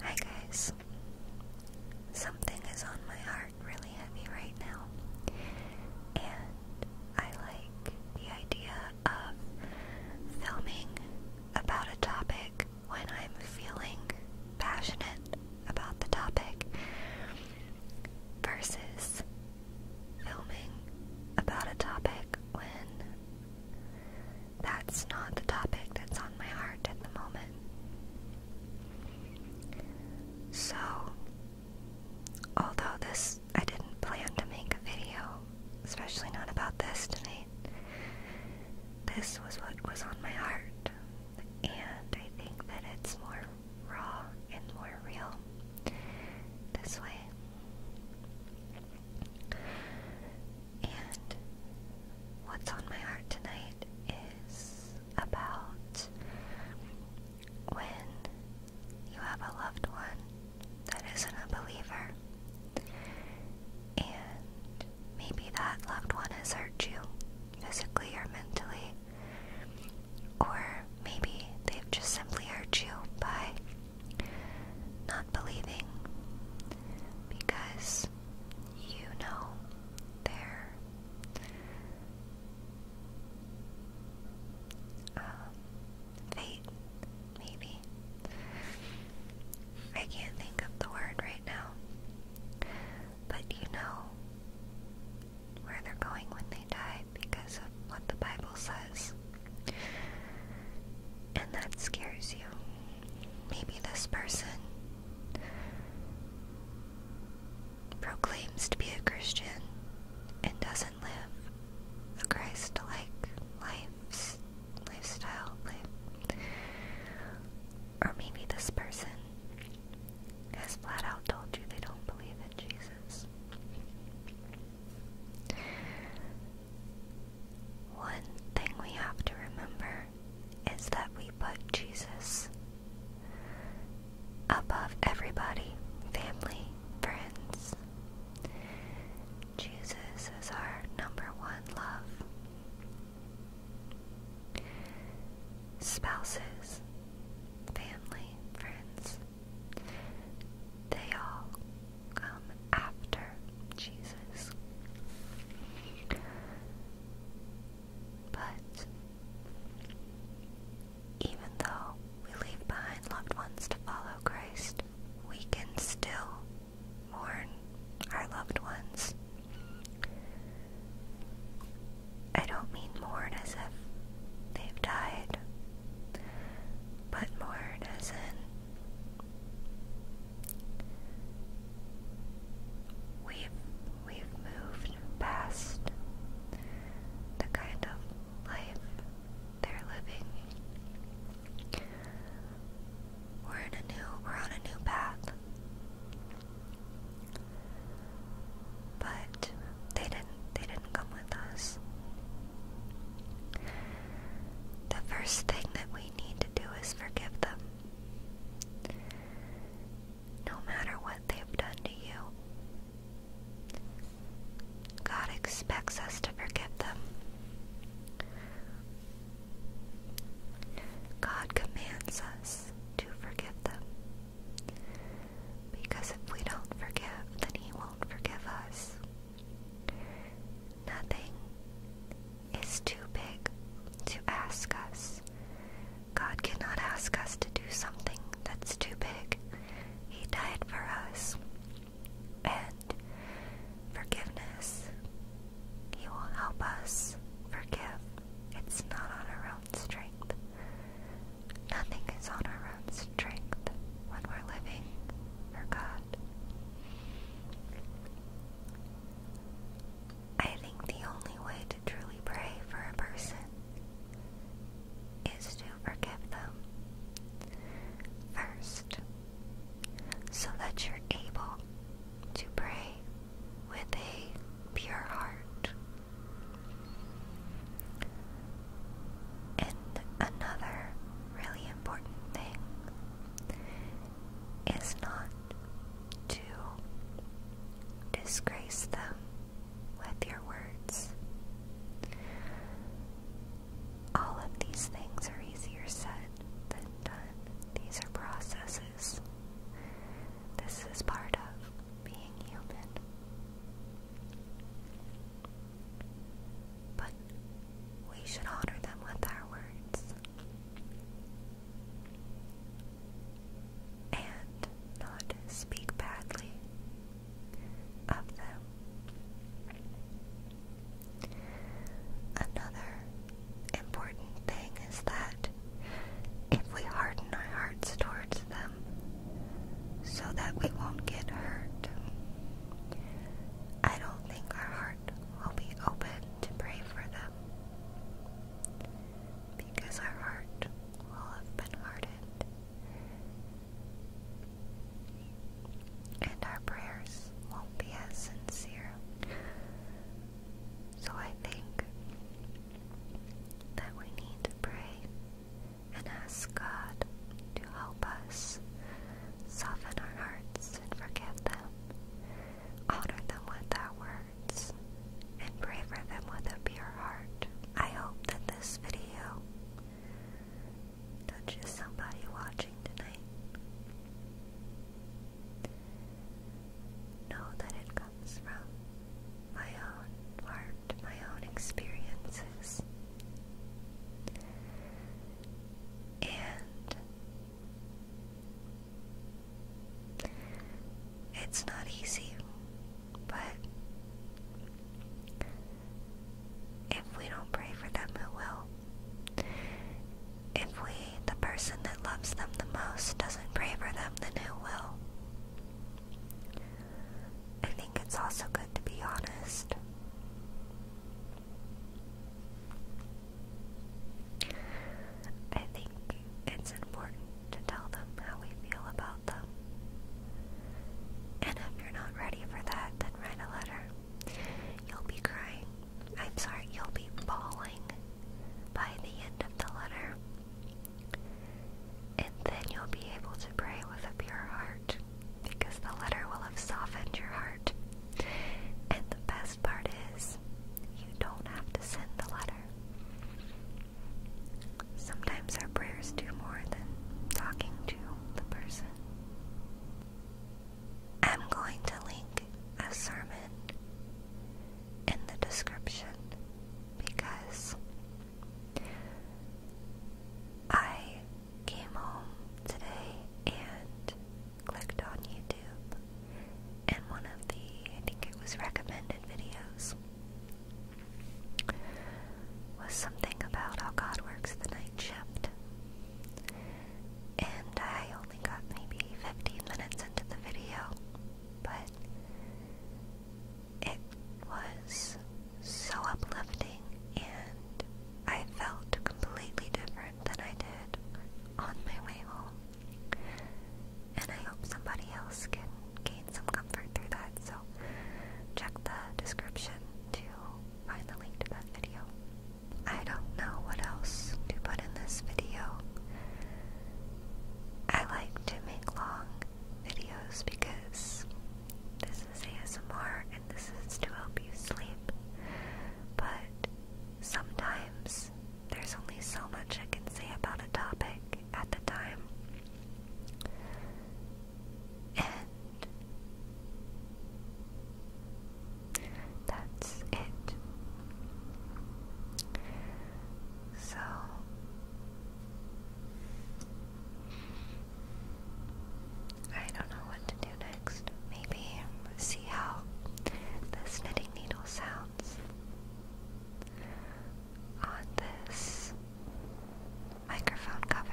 Hi guys. Something is on my heart really heavy right now. And I like the idea of filming about a topic when I'm feeling passionate about the topic versus filming about a topic when that's not the topic that's on my heart at the moment. So, although this, I didn't plan to make a video, especially not about this tonight, this was what was on my heart, and I think that it's more raw and more real this way. And what's on my heart tonight is about when you have a loved one that isn't a believer, and maybe that loved one has hurt you physically or mentally, or maybe they've just simply hurt you by not believing because you know they're um, fate, maybe. I can't think of the word right now. But you know where they're going when they die because of what the Bible says. And that scares you. Maybe this person proclaims to be a Christian and doesn't live a Christ like life, lifestyle. Life. Or maybe this person has flat out told you they don't believe in Jesus. One thing we have to remember is that we put Jesus above everybody, family, friends. Jesus is our number one love. Spouses, family, friends, they all come after Jesus. But even though we leave behind loved ones to follow Christ, we can still mourn our loved ones. I don't mean mourn as if they've died but more does in we've we've moved past the kind of life they're living. We're in a new we're on a new path. But they didn't they didn't come with us. The first thing that we need to do is forgive them. No matter what they've done to you, God expects us to forgive them. God commands us to forgive them. Because if we don't forgive, then He won't forgive us. Nothing is too big to ask us. God cannot ask us to do something that's too big. He died for us. And forgiveness, He will help us forgive. It's not on our own strength. Nothing is on our own strength when we're living for God. I think the only way to truly pray for a person is to forgive them first so that you're able to pray with a pure heart and another really important thing is not to disgrace them with your words. All of these things are easier said than done. These are processes. This is part of being human. But we should honor them with our words. And not speak badly of them. Another important thing is that if we harden our hearts towards them, so that we won't get hurt. I don't think our heart will be open to pray for them because our heart will have been hardened and our prayers won't be as sincere. So I think that we need to pray and ask God to help us soften our hearts and forgive them, honor them with our words, and pray for them with a pure heart. I hope that this video touches somebody watching tonight. Know that it from my own heart, my own experiences. And it's not easy, but if we don't pray for them, who will? If we, the person that loves them the most, doesn't pray for them, then who will? I think it's also good to be honest. I think it's important to tell them how we feel about them. And if you're not ready for that, then write a letter. You'll be crying. I'm sorry, you'll be bawling by the end of the letter. And then you'll be able to pray with a pure heart because the letter will have softened your heart. And the best part is, you don't have to send the letter. Sometimes our prayers do more than talking to the person. I'm going to link a sermon in the description because I came home today and clicked on YouTube and one of the, I think it was recommended videos, was something about how God works the night shift. And I only got maybe 15 minutes into the video but it was so uplifting and I felt completely different than I did on my way home. And I hope somebody else can gain some comfort through that, so check the description to find the link to that video. I don't know what else to put in this video. I like to make long videos because this is ASMR and this is to help you sleep. But sometimes there's only so much I can say about a topic at the time. And that's it. So I don't know what to do next. Maybe see how this knitting needle sounds on this microphone cover.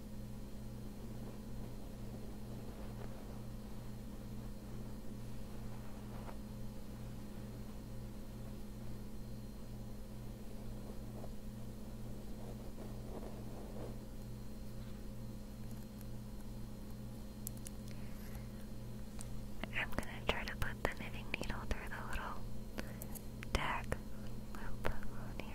I'm going to try to put the knitting needle through the little tag loop here.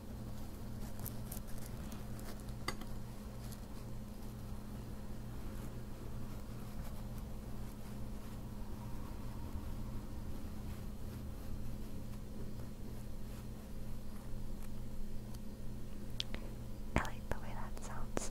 I like the way that sounds.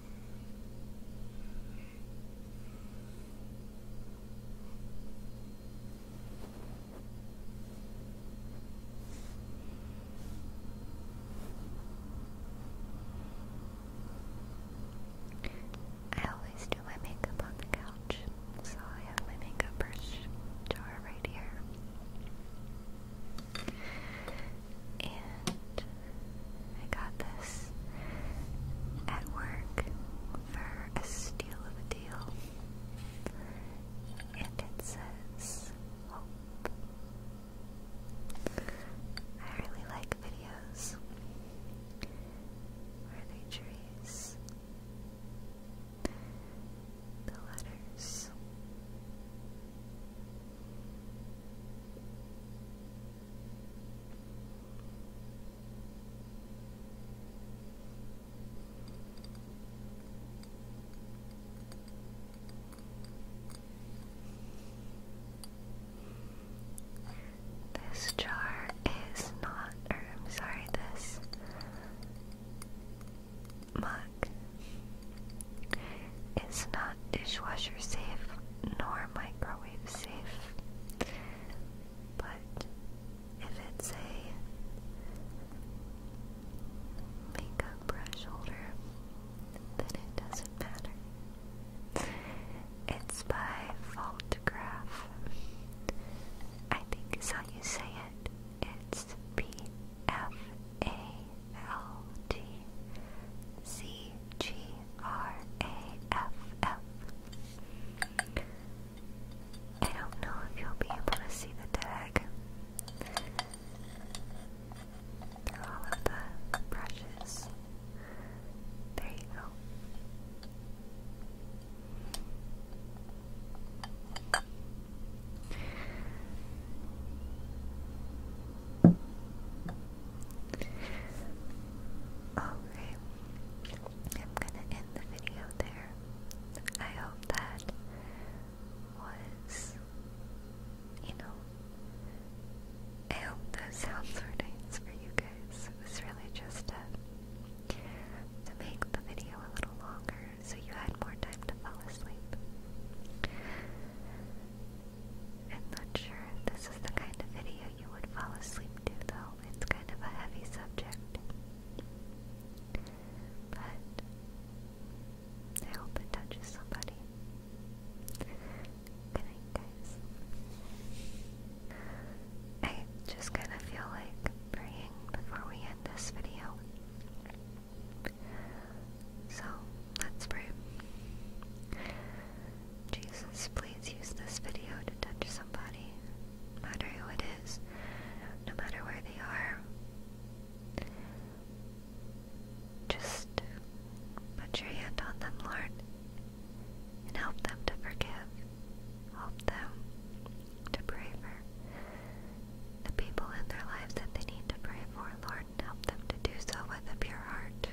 I always do my makeup on the couch, so I have my makeup brush jar right here and I got this at work for a steal of a deal. And it says hope. I really like videos where they trees? the letters. This jar is not, I'm sorry, this mug it's not dishwasher safe nor microwave safe. But if it's a makeup brush holder, then it doesn't matter. It's by Faultgraph. I think is how you say it. It's P F A L T C G R A F F. I don't know if you'll be able to see the tag. Through all of the brushes. There you go. Okay, I'm gonna end the video there. I hope that was, you know, I hope those sounds were for you guys. It was really just to, to make the video a little longer so you had more time to fall asleep. I'm not sure if this is the kind of video you would fall asleep to, though. It's kind of a heavy subject. But I hope it touches somebody. Good night, guys. I just kind of feel like praying before we end this video. So let's pray. Jesus, please use this video to touch somebody, no matter who it is, no matter where they are. Just put your hand on them, Lord, and help them to forgive. Help them to pray for the people in their lives that they need to pray for, Lord help them to do so with a pure heart.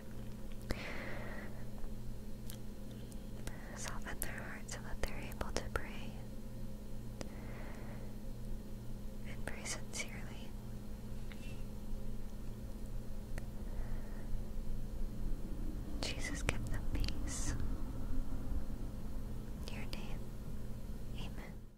Soften their hearts so that they're able to pray and pray sincerely. Jesus, give them peace. your name, amen.